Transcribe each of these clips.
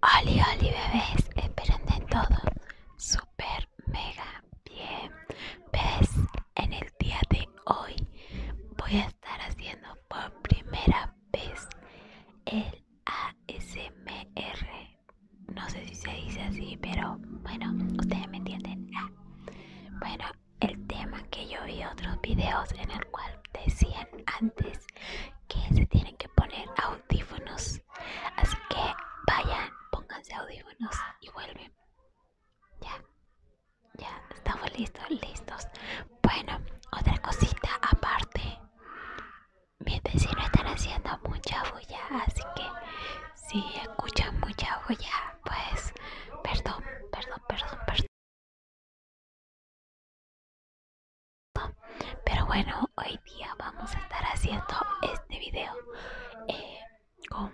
Hola, hola, bebés, esperen de todo. Super, mega, bien. ¿Ves? en el día de hoy voy a estar haciendo por primera vez el ASMR. No sé si se dice así, pero bueno, ustedes me entienden. Ah. Bueno, el tema que yo vi otros videos en el cual decían antes que se tienen que poner audífonos. Así que vayan, pónganse audífonos y vuelven. Ya, ya, estamos listos, listos. Bueno, otra cosita aparte. Mis vecinos están haciendo mucha bulla, así que si escuchan mucha bulla, pues perdón, perdón, perdón, perdón. Pero bueno, hoy día vamos a estar haciendo este video eh, con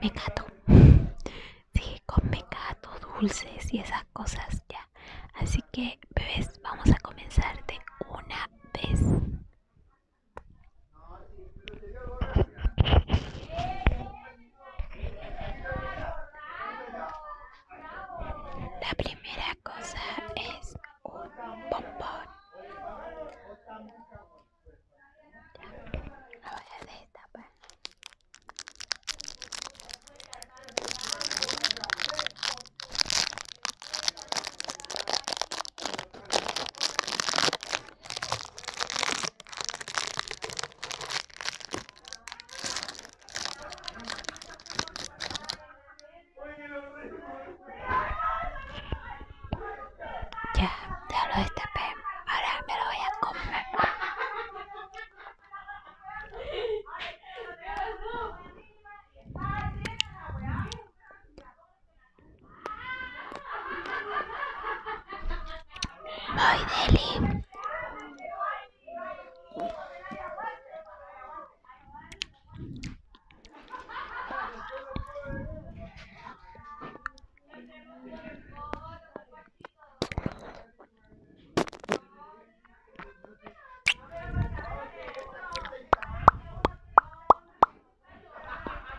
mecato. Sí, con mecato, dulces y esas cosas ya. Así que, bebés, vamos a comenzar de una vez. La primera cosa es un bombón. Ya, de este pe, Ahora me lo voy a comer. Ay, Deli.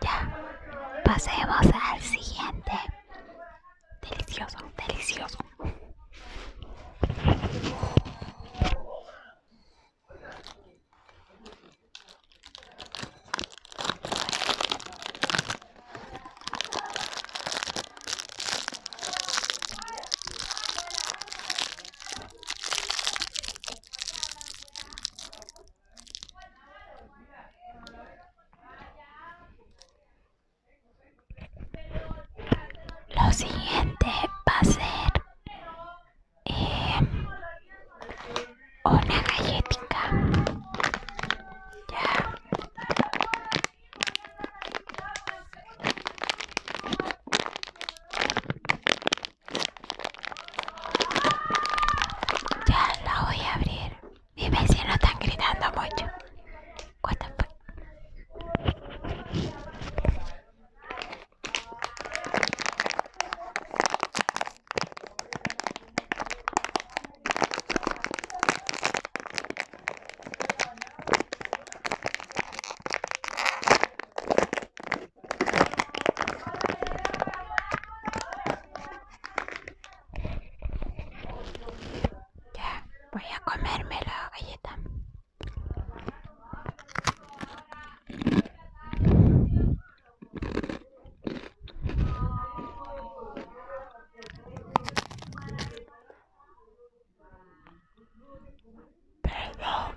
Ya, pasemos al siguiente. Delicioso, delicioso. Lo siguiente va a ser eh, una galletica. Ya la voy a abrir. Mis no están gritando mucho. ¿Cuánto ya, voy a comerme la galleta. Perdón.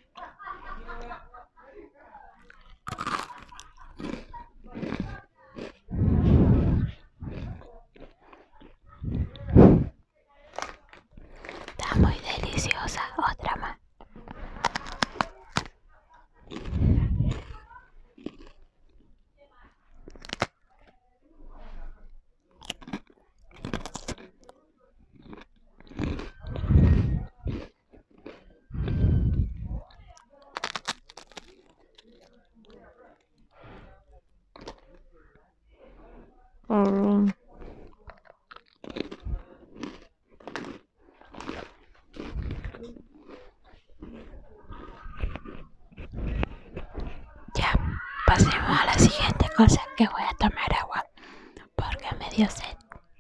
Está muy deliciosa, otra más. Ya, pasemos a la siguiente cosa que voy a tomar agua porque me dio sed.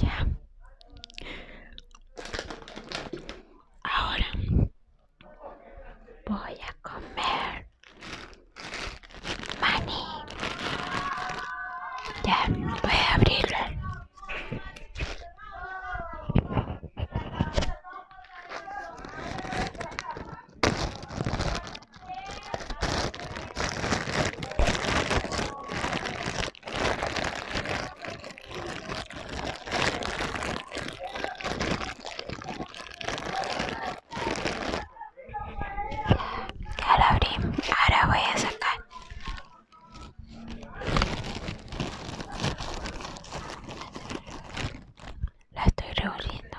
Ya. Ahora voy a comer maní. Ya, voy a abrirlo. Ya la abrí, ahora voy a sacar. La estoy revolviendo.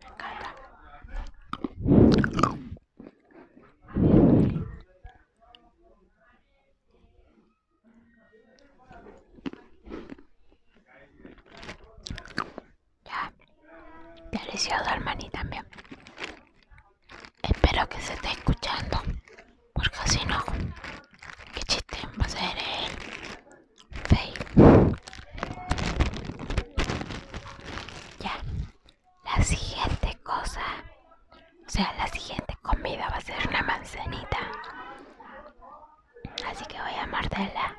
Me encanta. Ya, delicioso también. Espero que se esté escuchando, porque si no, qué chiste va a ser él ya. La siguiente cosa. O sea, la siguiente comida va a ser una manzanita. Así que voy a morderla.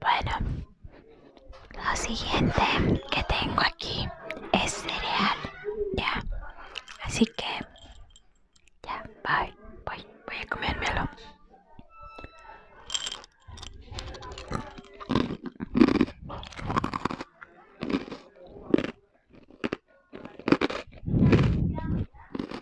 Bueno, lo siguiente que tengo aquí es cereal, ya. Así que, ya, bye, voy, voy a comérmelo.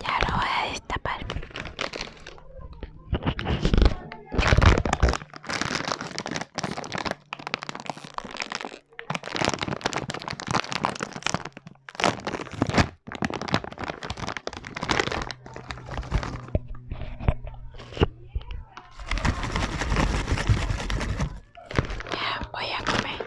Ya lo voy a destapar. Ya voy a comer.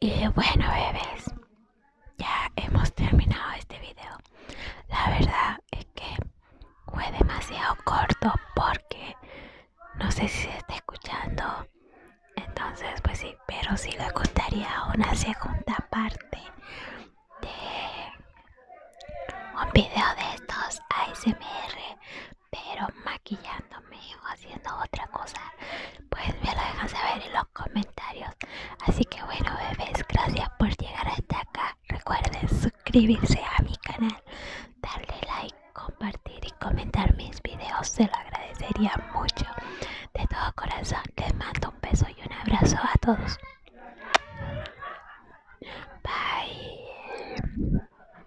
Y bueno, bebés, ya hemos terminado este video. La verdad es que fue demasiado corto porque no sé si se está escuchando. Entonces, pues sí, pero sí le gustaría una segunda parte de un video de estos ASMR pero maquillándome o haciendo otra cosa, pues me lo dejan saber en los comentarios. Así que bueno, bebés, gracias por llegar hasta acá. Recuerden suscribirse a mi canal, darle like, compartir y comentar mis videos, se lo agradecería mucho. De todo corazón, les mando un beso y un abrazo a todos. Bye.